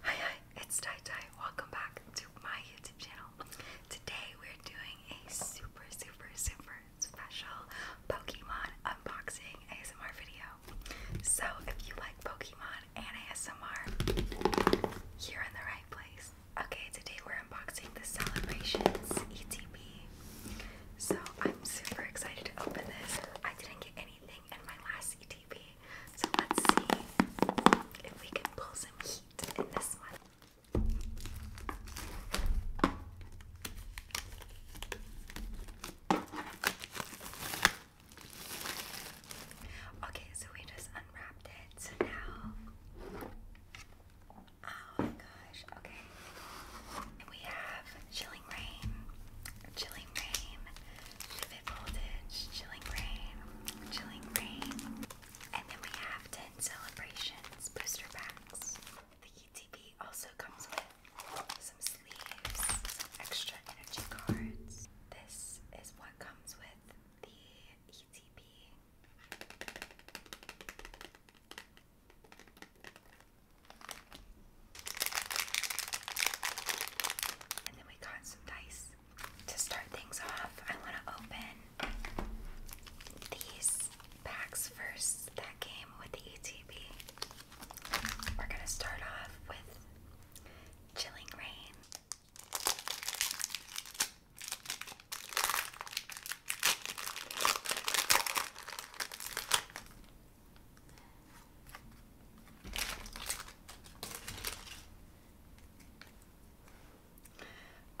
Hi hi, it's Tai Tai. Welcome back to my YouTube channel. Today we're doing a super super super special Pokemon unboxing ASMR video. So if you like Pokemon and ASMR, you're in the right place. Okay, today we're unboxing the Celebrations ETB. So I'm super excited to open this. I didn't get anything in my last ETB. So let's see if we can pull some heat in this one. Okay, so we just unwrapped it. So now, oh my gosh, okay. We have Chilling Rain, Chilling Rain, Voltage, Chilling Rain, Chilling Rain. And then we have 10 Celebrations booster packs. The ETP also comes with some sleeves, some extra energy cards. This is what comes with the ETP. And then we got some dice. To start things off, I want to open these packs first that came with the ETB. We're going to start off with Chilling Rain.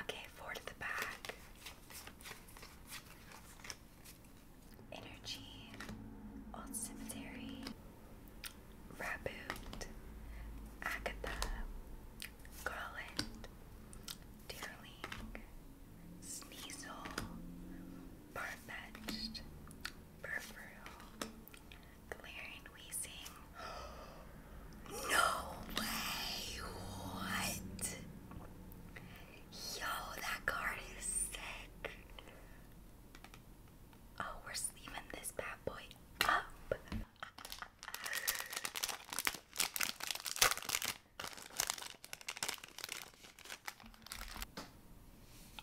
Okay, four the back. Energy, Old Cemetery, Raboot, Agatha, Garland, Deerling, Sneasel, Farfetched, Peripheral, Glaring Wheezing. No way! What? Yo, that card is sick. Oh, we're sleeving this bad boy up.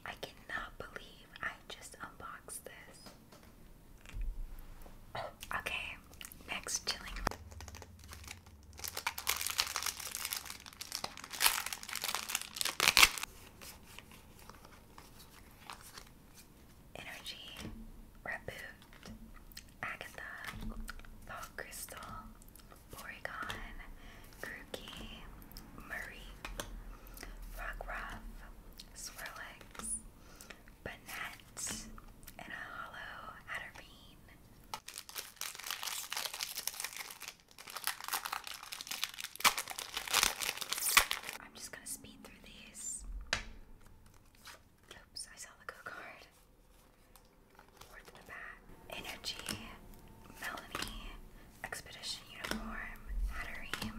I cannot believe I just unboxed this. Okay, next chilling. Energy, Reboot, Agatha, Thought Crystal, Porygon, Grookey, Murray, Rockruff, Swirlix, Banette, and a hollow Hatterbean. I'm just gonna speed through these. Oops, I saw the go card. Energy, Melanie, Expedition Uniform, Hatterim,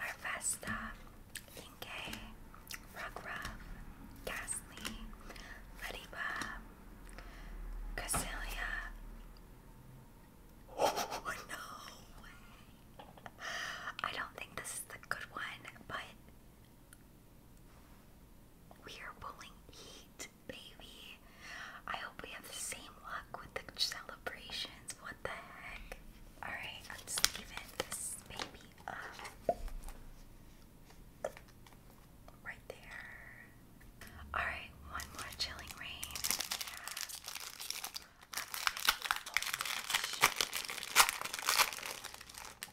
Larvesta, Inke, Rockruff, Ghastly, Lediba, Casilia. Oh, no! I don't think this is the good one, but we are pulling heat baby. I hope we have the same luck with the celebrations. What the heck? Alright, let's even baby Right there. Alright, one more chilling rain.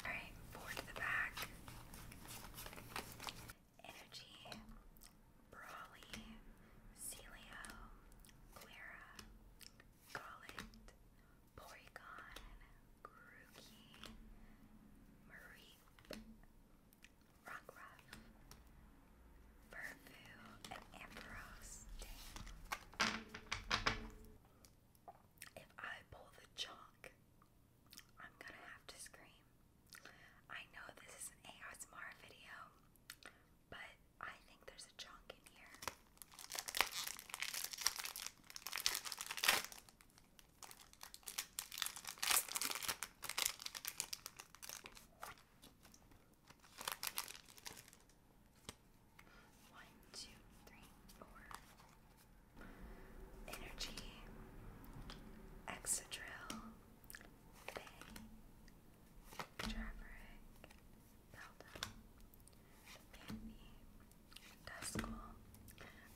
Alright, four to the back. Energy, Brawly, Celio, Clara, Gollet, Porygon, Grookey, Mareep, Rockruff, Furfu, and Ampharos. If I pull the chalk, I'm gonna have to scream. I know this is an ASMR video, but I think there's a chunk in here. One, two, three, four, Energy, Exodrill, Bay, Treverick, Beldum, Mandy, Duskull,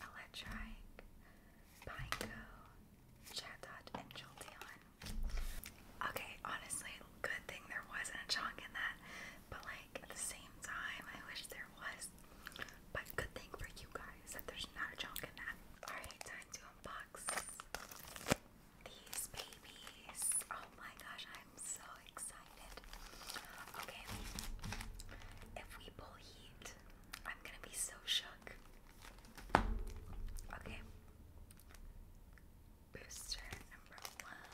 Electrike, Pineco, Chatot, and Jolteon. Okay, honestly, good thing there wasn't a chunk in that but like at the same time, I wish there was. But good thing for you guys that there's not a junk Alright, time to unbox these babies. Oh my gosh, I'm so excited. Okay, if we pull heat, I'm gonna be so shook. Okay. Booster number one.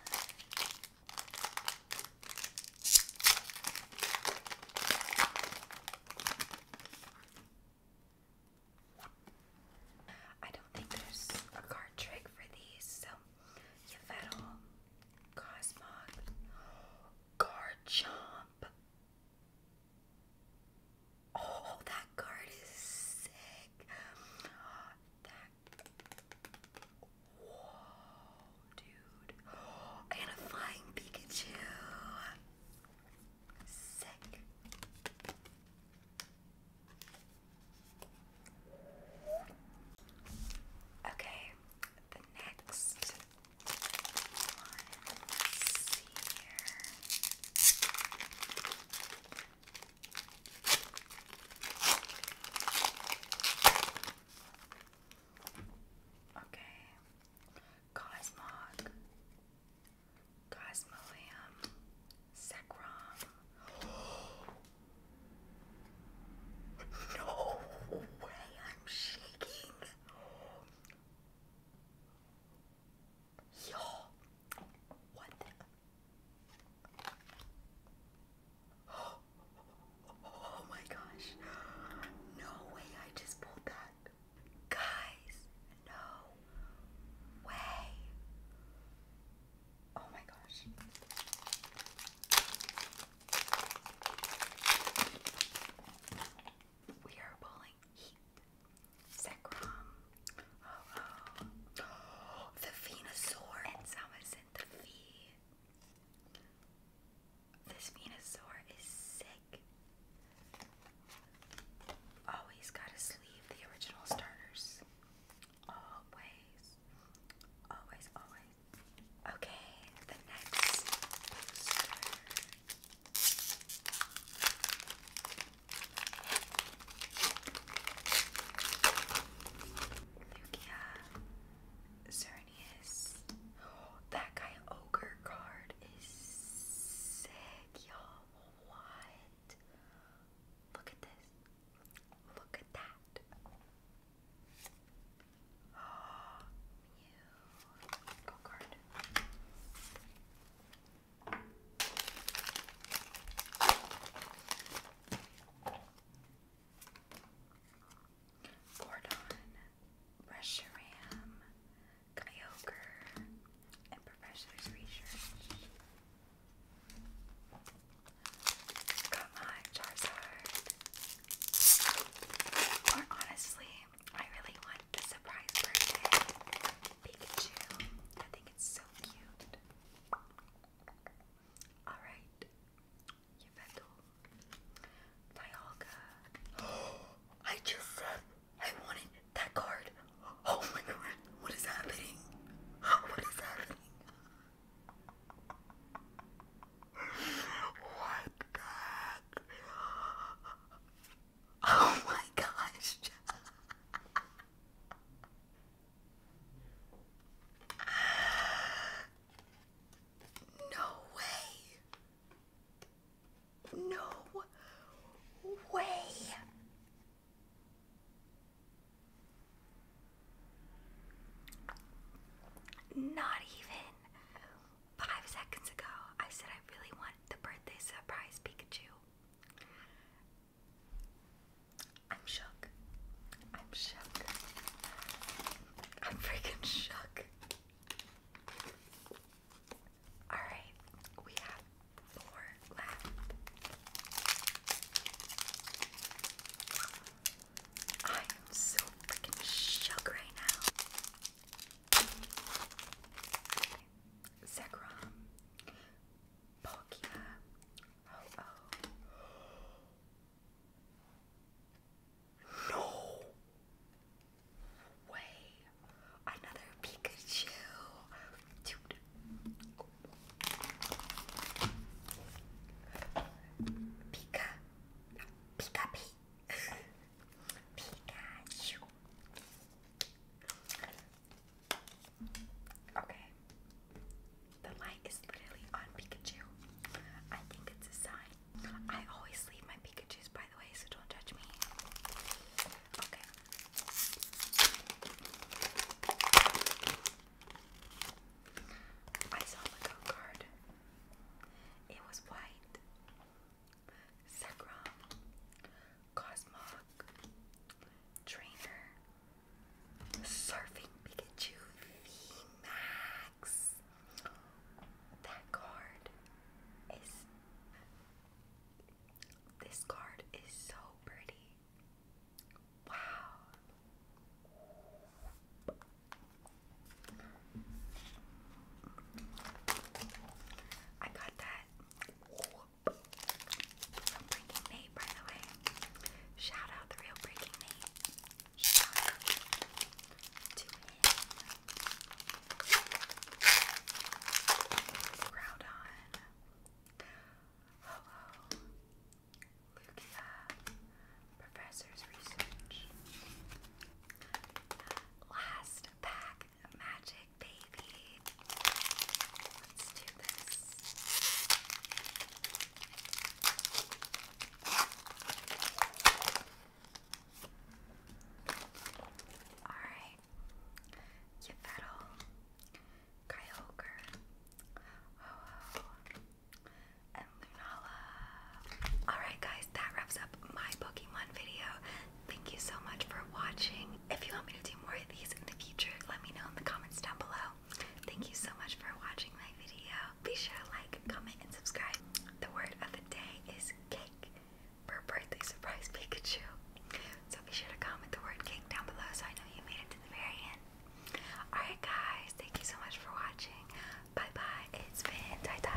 I don't think there's a card trick for these, so Yvettle, Cosmog, Garchomp. Oh, that card is sick. That Whoa, dude. I a flying Pikachu. Sick. Okay, the next one. Let's see here. Okay. Cosmog. Cosmolium. Sekrom. no way I'm shaking. Yo. What Oh, my gosh. No way I just pulled that. Guys, no way. Oh my gosh. We are pulling heat. Zekrom. The Venusaur and Samus this Venusaur is sick. Always gotta sleeve the original starters. Always. Always, always. Okay, the next Lugia, Xerneas. that guy ogre card is sick, y'all. What? Look at this. Look at that. Oh, Go card. Gordon, Reshiram, Kyogre, and Professor's Research. Got Charizard. Or honestly, I really want the surprise birthday Pikachu. I think it's so cute. Alright. Yvetel. Dialga. I just said I wanted that card. Oh my god. What is happening? What is happening? What Oh my gosh. No way. No way. Not even five seconds ago, I said I really want the birthday surprise Pikachu. I'm shook. I'm shook. I'm freaking shook. Alright, we have four left. I am so freaking shook right now. Zekrom Pokemon. Oh, oh. No way. Another Pikachu. Dude. Pika. Pika P. Pikachu. Okay. The light is literally on Pikachu. I think it's a sign. I always leave my Pikachus, by the way, so don't judge me. Okay. I saw the go card. It was white. Zekrom, Cosmog, Trainer, Surfing Pikachu VMAX. That card is. This card is so pretty. Wow. I got that Breaking Nate, by the way. Shout out the real Breaking Nate. Shout out to him. Groudon. Professor's Research. Last pack magic, baby. Let's do this. Alright. Yvettle. Kyogre. And Lunala. Alright guys, that wraps up my Pokemon video. Thank you so much for watching. If you want me to do more of these in the future, let me know in the comments down below. Thank you so much for watching my video. Be sure to like, comment, and subscribe. The word of the day is cake for a birthday surprise Pikachu. So be sure to comment the word cake down below so I know you made it to the very end. Alright guys, thank you so much for watching. Bye bye. It's been Tata.